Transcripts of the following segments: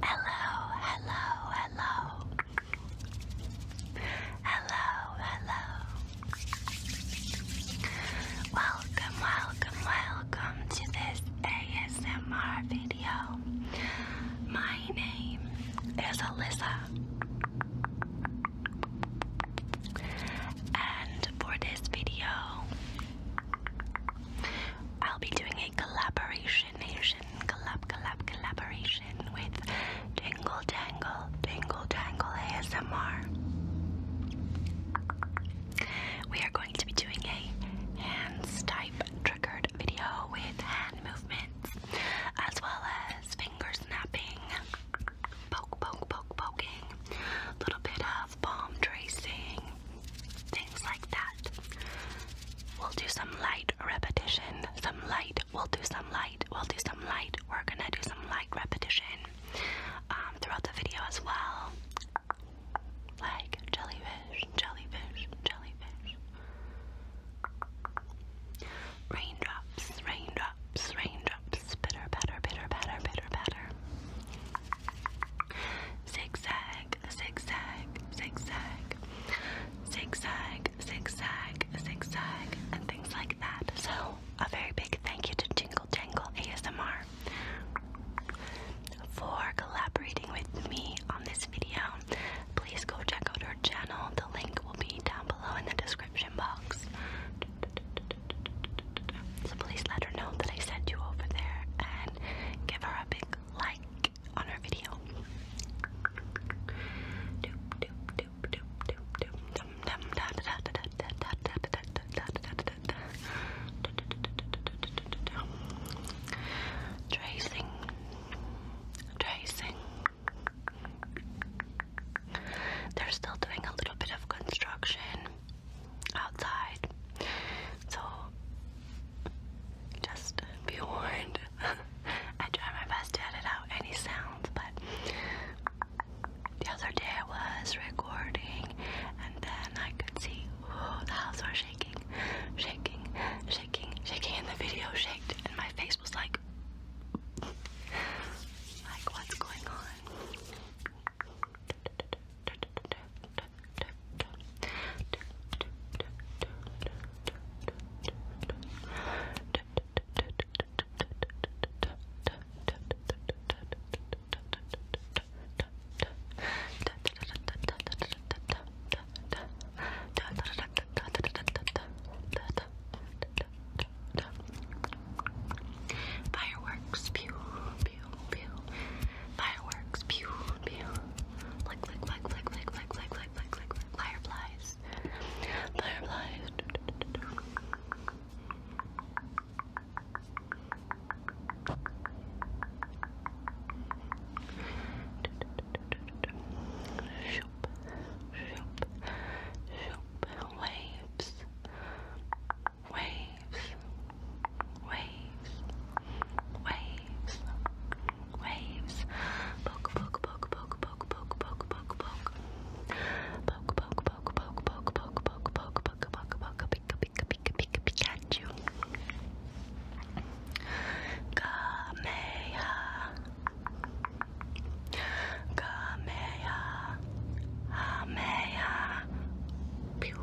Hello, hello, hello. Hello, hello. Welcome, welcome, welcome to this ASMR video. My name is Alyssa. And for this video, I'll be doing a collaboration Asian collab collab collaboration with Tingle Tangle Tingle Tangle ASMR. We are going to be doing a hand type triggered video with hand movements as well as finger snapping, poke, poke, poke, poking, little bit of palm tracing, things like that. We'll do some light repetition, some light, we'll do some light, we'll do some light. We're gonna do some light repetition um, throughout the video as well. Like jellyfish, jellyfish, jellyfish. Raindrops, raindrops, raindrops, bitter, better, bitter, better, bitter, better zigzag, zigzag, zigzag, zigzag, zigzag, zigzag, and things like that. So, a very big thank you to Jingle Jangle ASMR for collaborating with me on this video. Please go check out her channel. The link will be down below in the description box. So please let her know that I sent you over there and give her a big like on her video. Tracing, tracing. They're still doing a little bit of construction outside. So just be warned. I try my best to edit out any sounds, but the other day I was recording and then I could see oh, the house was shaking, shaking, shaking, shaking, and the video shook, and my face was like, like what's going on? Fireworks, pew, Fireworks, Fireflies, fireflies. Waves waves, waves, waves, waves. Poke, poke, poke, poke, poke, poke, poke, poke, poke. Poke, poke, poke, poke, poke, poke, poke, poke, poke, poke, poke, pick, pick, pick, pick, Pikachu. Kameha. Kameha. Kameha. Pew,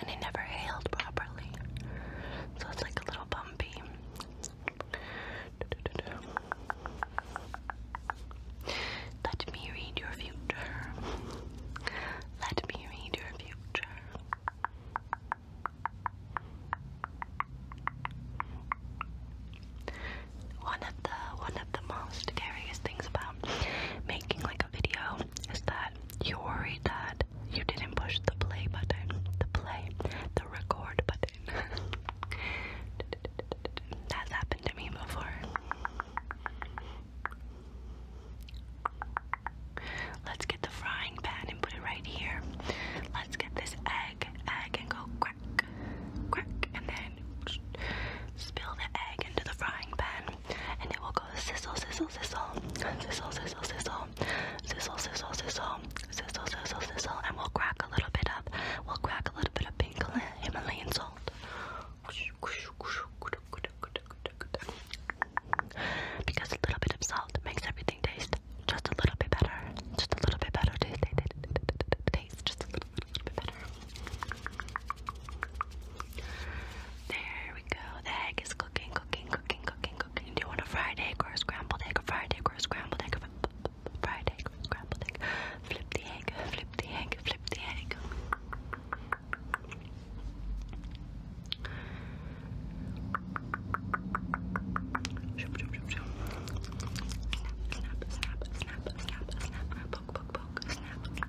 and it never hailed properly, so it's like a little bumpy. Let me read your future. Let me read your future. One of the one of the most scariest things about making like video is that you worried that you didn't push the play button, the play, the record button. That's happened to me before. Let's get the frying pan and put it right here. Let's get this egg, egg, and go crack, crack, and then spill the egg into the frying pan, and it will go sizzle, sizzle, sizzle, sizzle, sizzle, sizzle, sizzle, sizzle, sizzle, sizzle, sizzle, sizzle, and we'll crack a little bit up. We'll crack a little bit of pink Himalayan salt. Because a little bit of salt makes everything taste just a little bit better. Just a little bit better. Taste, taste just a little, little bit better. There we go. The egg is cooking, cooking, cooking, cooking, cooking. Do you want a fried egg or a scrambled egg? A fried egg or a scrambled egg? A fried egg or a scrambled egg? Flip the egg, flip the egg, flip the egg. Snap, snap, snap, snap, snap, snap, poke, poke, poke, snap.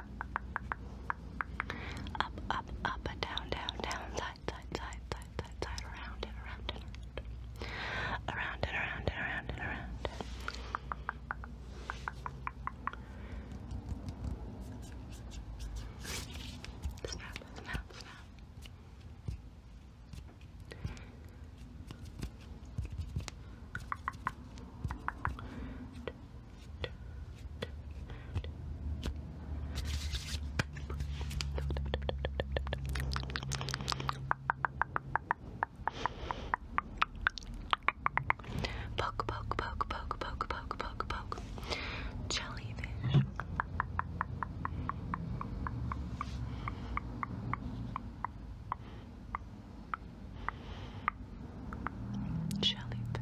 Up, up, up, and down, down, down, side, side, side, side, side, side, around and around and around. Around and around and around and around. snap, snap, snap Poke, poke, poke, poke, poke, poke, poke, poke. Jellyfish. Jellyfish.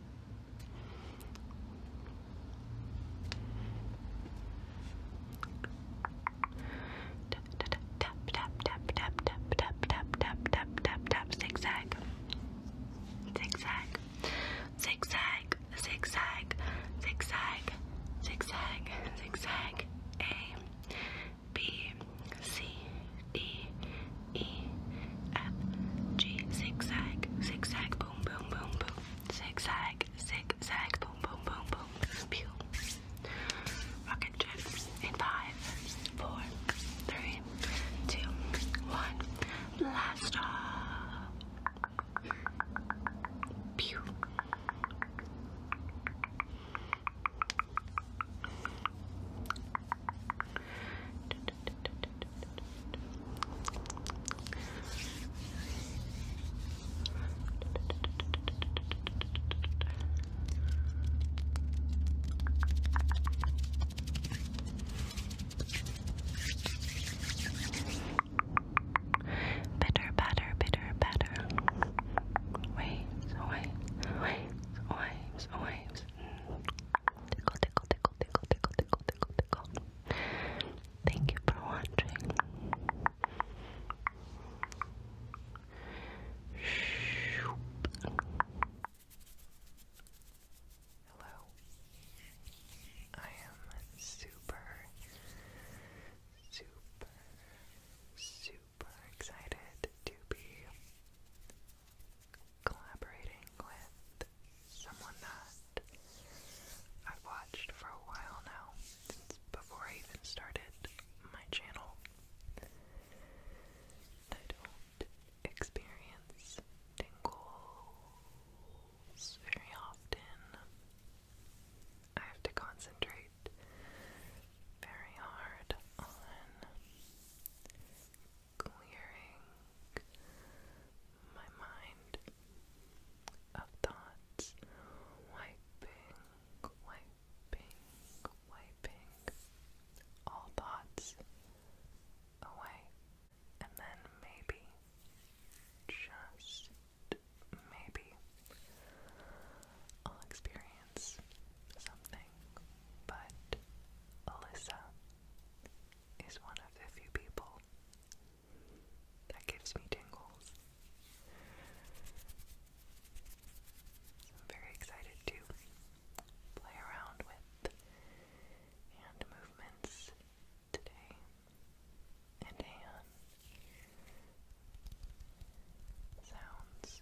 Tap tap tap tap tap tap tap tap tap tap tap zigzag zigzag zigzag zigzag zigzag zigzag zigzag A B C D E F G zigzag zigzag boom boom boom boom zigzag zigzag boom boom boom boom pew rocket trip in five four three two one blast off pew Bitter, batter, bitter, batter. Waves, waves, waves, waves, mm. Tickle, tickle, tickle tickle, tickle, tickle, tickle, Thank you for watching. Hello. I am super, super, super excited to be collaborating with someone that I've watched for a while now, since before I even started my channel. I don't experience tingles very often. I have to concentrate very hard on clearing my mind of thoughts, wiping, wiping, wiping all thoughts away, and then maybe, just maybe, I'll experience something. But Alyssa is one of the few people that gives me tingles. I'm very excited to play around with hand movements today and hand sounds.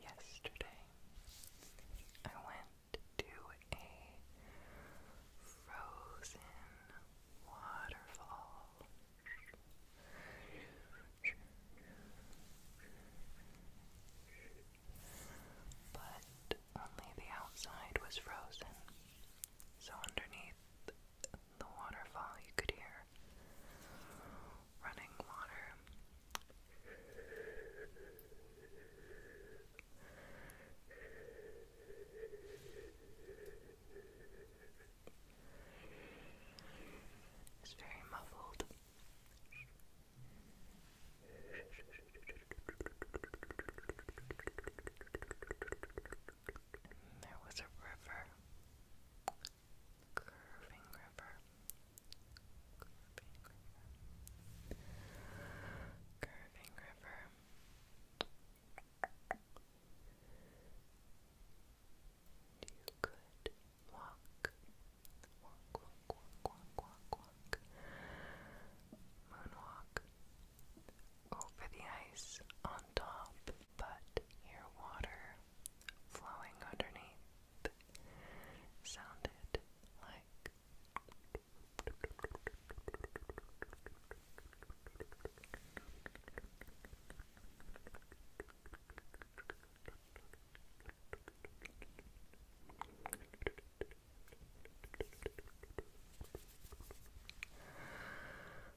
Yesterday, I went to a frozen waterfall. But only the outside was frozen, so underneath the waterfall, you could hear running water. It's very muffled. There was a river, curving river, curving river, You could walk, walk, walk, walk, walk, walk, moonwalk over the ice on on top, but your water flowing underneath sounded like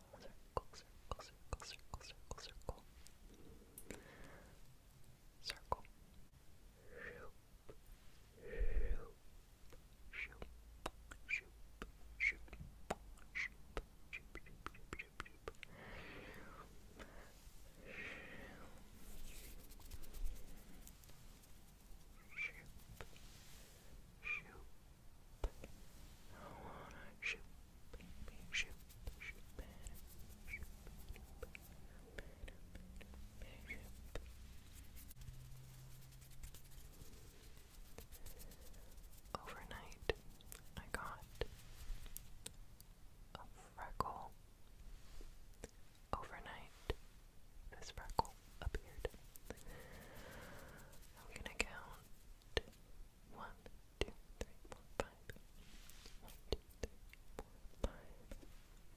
circle, circle, circle, circle, circle, circle. Circle. Shoop. Shoop. Shoop. Shoop. Shoop. Shoop. Shoop. Shoop. Shoop. Shoop. Shoop. Shoop. I wanna shoop. Overnight, I got a freckle. Overnight, this freckle appeared. I'm gonna count one, two, three, four, five. One, two, three, four, five.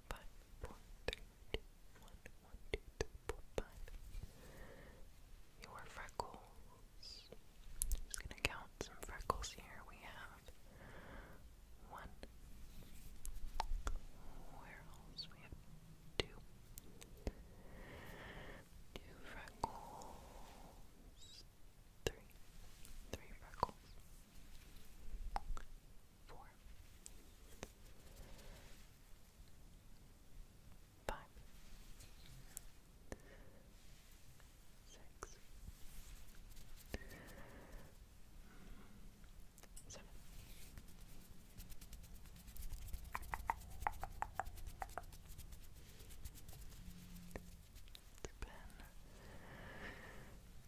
Five, four, three, two, one, one, two, three, four, five. Your freckles. just gonna count some freckles here. We have one. Where else? We have two. Two freckles three, three freckles, four, five,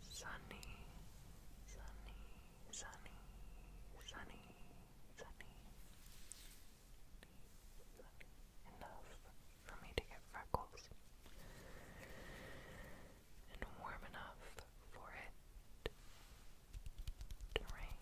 it's sunny, sunny, sunny, sunny, sunny, sunny enough for me to get freckles and warm enough for it to rain.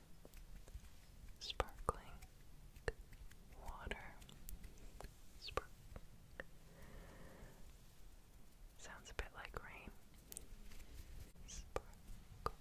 sparkling water. Spark. Sounds a bit like rain. Sparkle.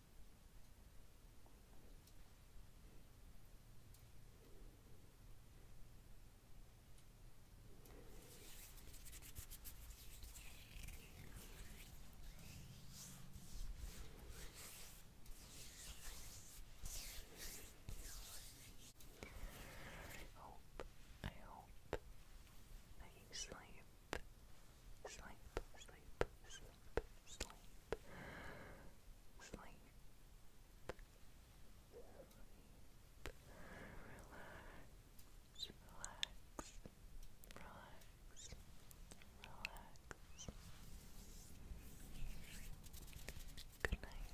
I hope I hope that you sleep sleep, sleep, sleep, sleep, sleep, sleep, relax, relax, relax, relax. Good night.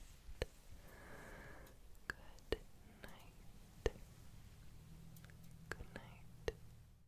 Good night. Good night.